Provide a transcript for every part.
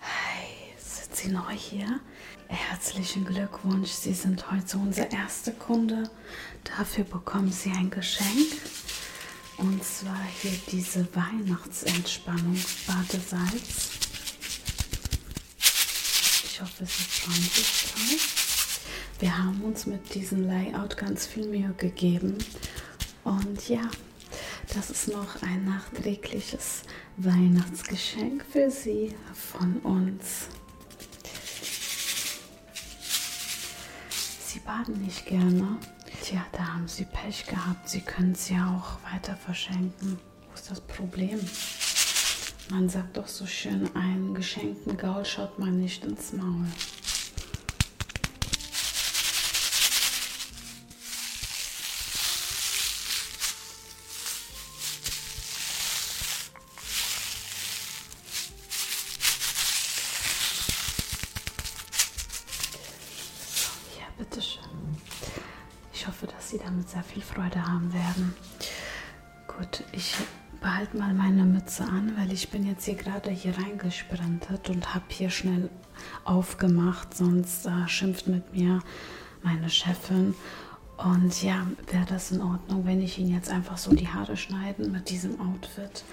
Hi, sind Sie neu hier? Herzlichen Glückwunsch, Sie sind heute unser erster Kunde. Dafür bekommen Sie ein Geschenk. Und zwar hier diese Weihnachtsentspannung Badesalz. Ich hoffe, es ist freundlich. Wir haben uns mit diesem Layout ganz viel Mühe gegeben. Und ja, das ist noch ein nachträgliches Weihnachtsgeschenk für Sie von uns. Sie baden nicht gerne. Tja, da haben Sie Pech gehabt. Sie können es ja auch weiter verschenken. Wo ist das Problem? Man sagt doch so schön, einen geschenkten Gaul schaut man nicht ins Maul. Ja, bitteschön. Ich hoffe, dass Sie damit sehr viel Freude haben werden. Gut, ich behalte mal meine Mütze an, weil ich bin jetzt hier gerade hier reingesprintet und habe hier schnell aufgemacht, sonst äh, schimpft mit mir meine Chefin. Und ja, wäre das in Ordnung, wenn ich ihn jetzt einfach so die Haare schneiden mit diesem Outfit,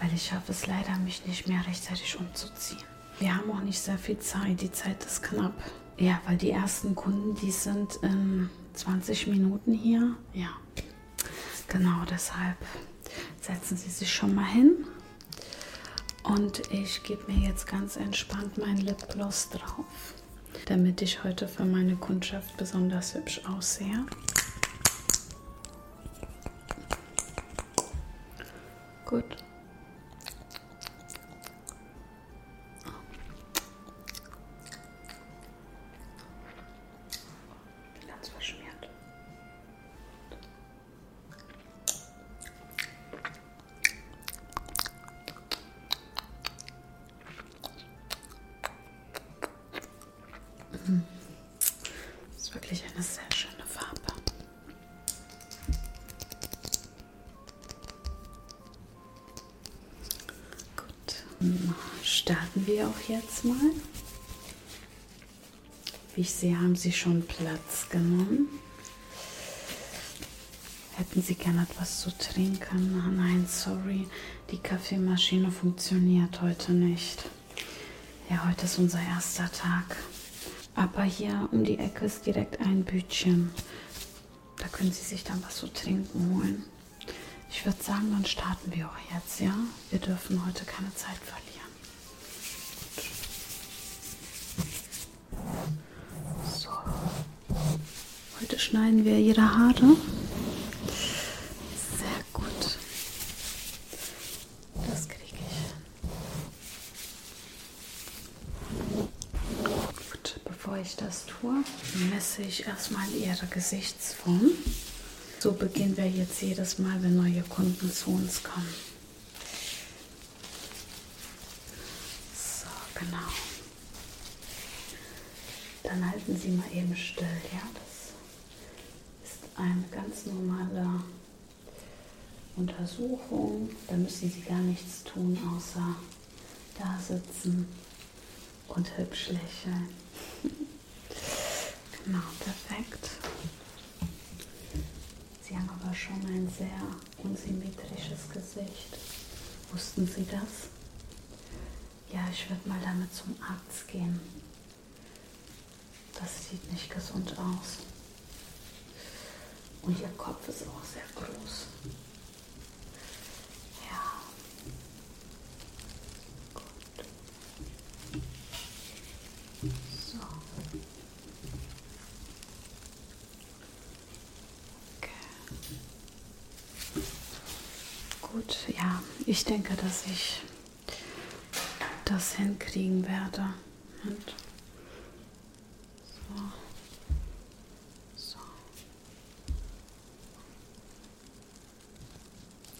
weil ich schaffe es leider, mich nicht mehr rechtzeitig umzuziehen. Wir haben auch nicht sehr viel Zeit, die Zeit ist knapp. Ja, weil die ersten Kunden, die sind in 20 Minuten hier. Ja, genau deshalb setzen Sie sich schon mal hin. Und ich gebe mir jetzt ganz entspannt mein Lipgloss drauf, damit ich heute für meine Kundschaft besonders hübsch aussehe. Gut. Ganz verschmiert. Das mm. ist wirklich eine sehr schöne Farbe. Gut, starten wir auch jetzt mal. Wie ich sehe, haben Sie schon Platz genommen. Hätten Sie gern etwas zu trinken? Ah, nein, sorry, die Kaffeemaschine funktioniert heute nicht. Ja, heute ist unser erster Tag. Aber hier um die Ecke ist direkt ein Bütchen. Da können Sie sich dann was zu trinken holen. Ich würde sagen, dann starten wir auch jetzt, ja? Wir dürfen heute keine Zeit verlieren. Gut. So. Heute schneiden wir ihre Haare. Sehr gut. Das kriege ich. Gut, bevor ich das tue, messe ich erstmal ihre Gesichtsform. So beginnen wir jetzt jedes Mal, wenn neue Kunden zu uns kommen. So, genau. Dann halten Sie mal eben still, ja? Das ist eine ganz normale Untersuchung. Da müssen Sie gar nichts tun, außer da sitzen und hübsch lächeln. genau, perfekt. Sie haben aber schon ein sehr unsymmetrisches Gesicht. Wussten Sie das? Ja, ich werde mal damit zum Arzt gehen. Das sieht nicht gesund aus. Und Ihr Kopf ist auch sehr groß. Ja. Gut. So. Okay. Gut, ja, ich denke, dass ich das hinkriegen werde. Und so. So.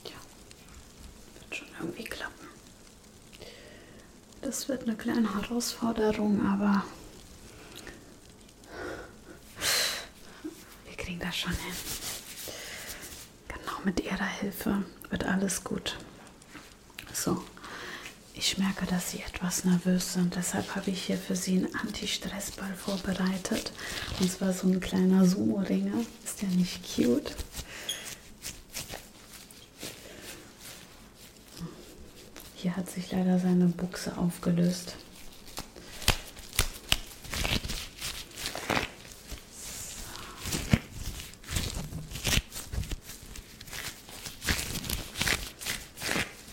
Ja, wird schon irgendwie klappen. Das wird eine kleine Herausforderung, aber wir kriegen das schon hin. Genau mit Ihrer Hilfe wird alles gut. So, ich merke, dass Sie etwas nervös sind. Deshalb habe ich hier für Sie einen Anti-Stress-Ball vorbereitet. Und zwar so ein kleiner Sumo-Ringer. Ist ja nicht cute. Hier hat sich leider seine Buchse aufgelöst.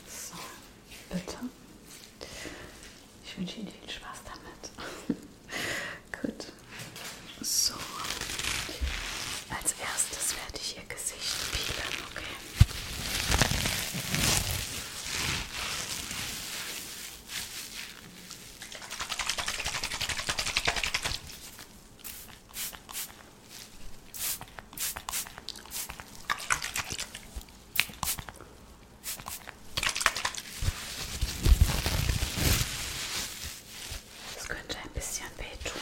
So, bitte. Ich wünsche Ihnen viel Spaß damit. Gut. So, als erstes werde ich ihr Gesicht peelen, okay? Das könnte ein bisschen wehtun.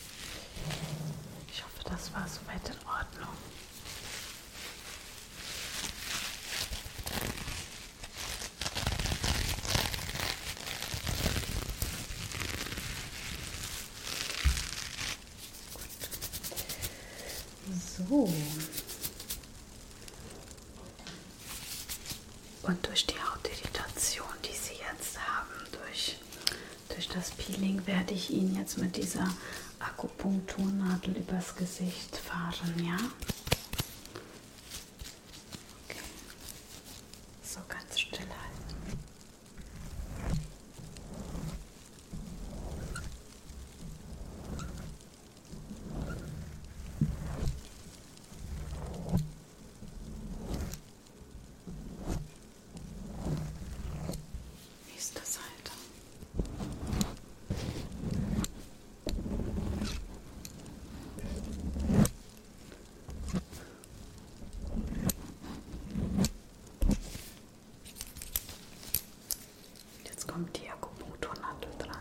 Ich hoffe, das war soweit in Ordnung. So. Und durch die Hautirritation, die Sie jetzt haben, durch durch das Peeling werde ich ihn jetzt mit dieser Akupunkturnadel übers Gesicht fahren, ja? Okay. So ganz still halten. Okay. Nächste Seite. Jetzt kommt die Akupunkturnadeln dran.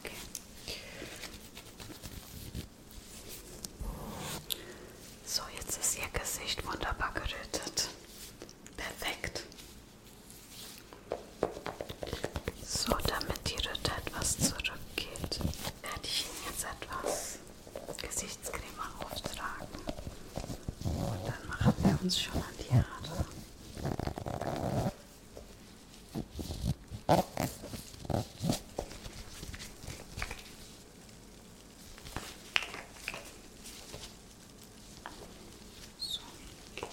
Okay. So, jetzt ist Ihr Gesicht wunderbar gerötet. Perfekt. So, damit die Röte etwas zurückgeht, werde ich Ihnen jetzt etwas Gesichtscreme auftragen. Und dann machen wir uns schon an die Haare. So. Okay.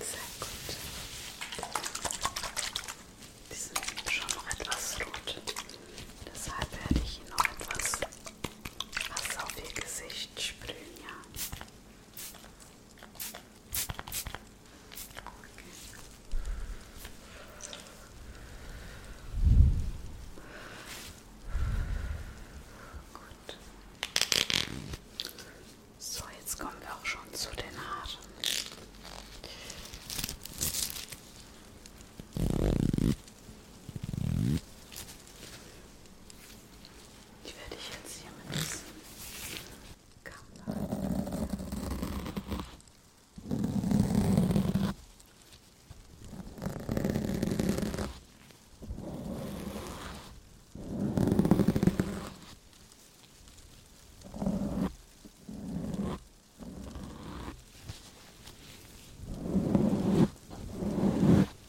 Sehr gut. Die sind schon noch etwas rot. Deshalb werde ich Ihnen noch etwas Wasser auf Ihr Gesicht sprühen, ja. Gut. So, jetzt kommen wir auch schon zu den Haaren. Ich werde dich jetzt hier mit diesem Kamm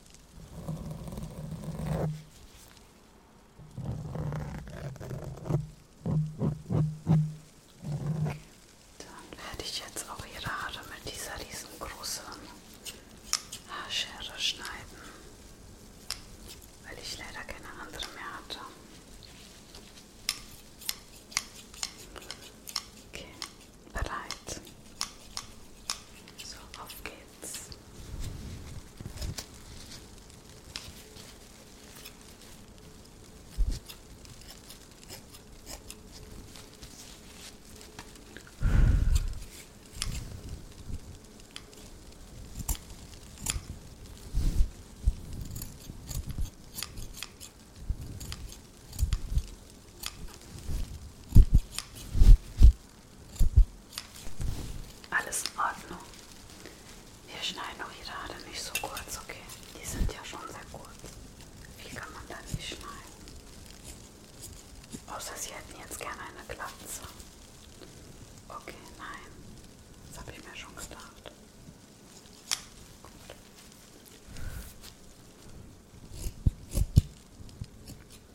Dann werde ich jetzt auch ihre Haare mit dieser riesengroßen Haarschere schneiden, weil ich leider keine andere mehr hatte. Okay, Bereit. So, auf geht's. Alles in Ordnung. Wir schneiden auch die Haare nicht so kurz, okay? Die sind ja schon sehr kurz. Viel kann man da nicht schneiden. Außer sie hätten jetzt gerne eine Glatze. Okay, nein. Das habe ich mir schon gedacht. Gut.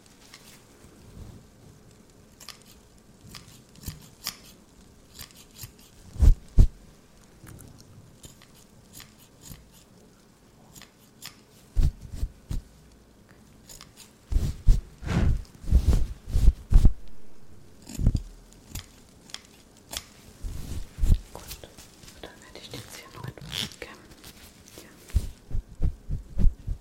Gut, dann werde ich jetzt hier noch etwas kämmen. Ja.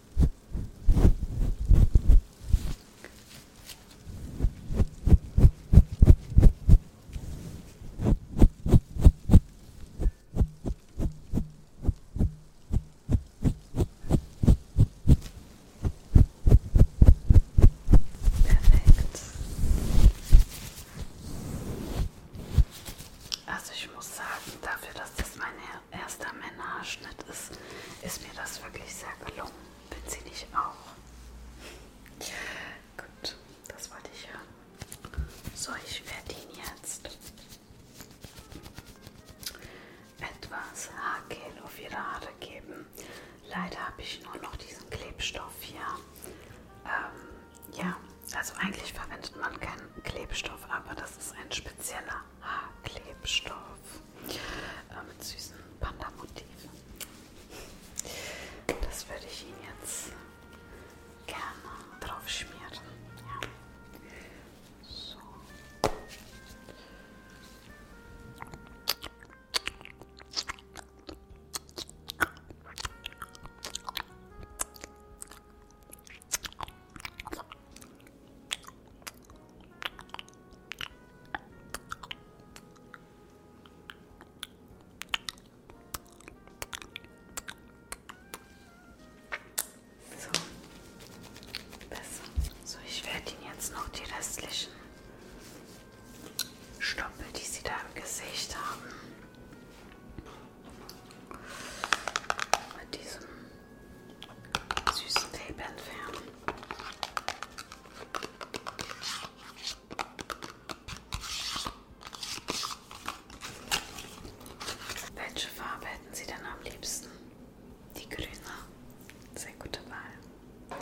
Perfekt. Also ich muss sagen, dafür, dass das meine erster Männerschnitt ist, ist mir das wirklich sehr gelungen. Bin sie nicht auch? Gut, das wollte ich hören. So, ich werde ihn jetzt etwas Haargel auf ihre Haare geben. Leider habe ich nur noch diesen Klebstoff hier. Ähm, ja, also eigentlich verwendet man keinen Klebstoff, aber das ist ein spezieller Haarklebstoff äh, mit süßen Panda-Motiven. Das würde ich Ihnen jetzt gerne drauf schmieren. Ja. So. So, besser. So, ich werde Ihnen jetzt noch die restlichen Stoppel, die Sie da im Gesicht haben, bei diesem süßen Tape entfernen. Welche Farbe hätten Sie denn am liebsten? Die grüne. Sehr gute Wahl. Gut, mal.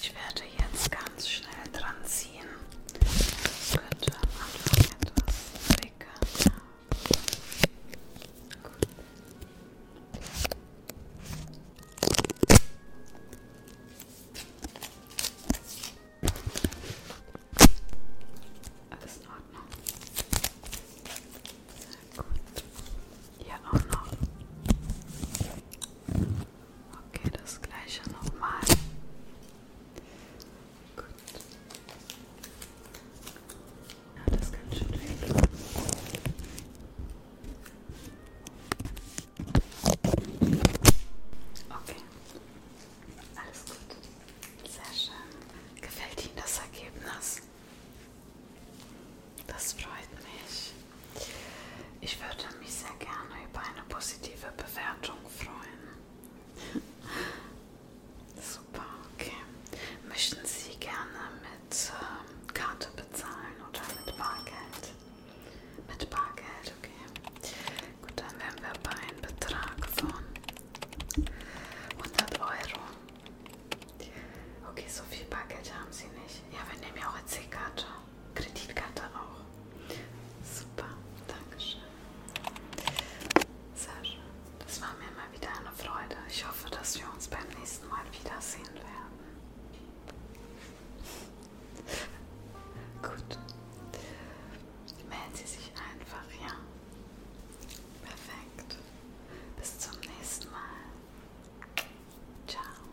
Ich werde jetzt ganz schnell dran ziehen. Das könnte am Anfang etwas dicker. Gut. Alles in Ordnung. Sehr gut. Hier auch noch. Okay, das gleiche nochmal. Gut. Ja, das kann schon weg. Okay. Alles gut. Sehr schön. Gefällt Ihnen das Ergebnis? Das freut mich. Ich würde mich sehr gerne über eine positive Bewertung freuen. Super, okay. Möchten Sie gerne mit ähm, Karte bezahlen oder mit Bargeld? Mit Bargeld, okay. Gut, dann wären wir bei einem Betrag von 100 Euro. Okay, so viel Bargeld haben Sie nicht. Ja, wir nehmen ja auch eine C-Karte. Kreditkarte auch. Super, Dankeschön. Sascha, das war mir mal wieder eine Freude. Ich hoffe, dass wir uns beim nächsten Mal wiedersehen werden. Gut. Melden Sie sich einfach, ja. Perfekt. Bis zum nächsten Mal. Ciao.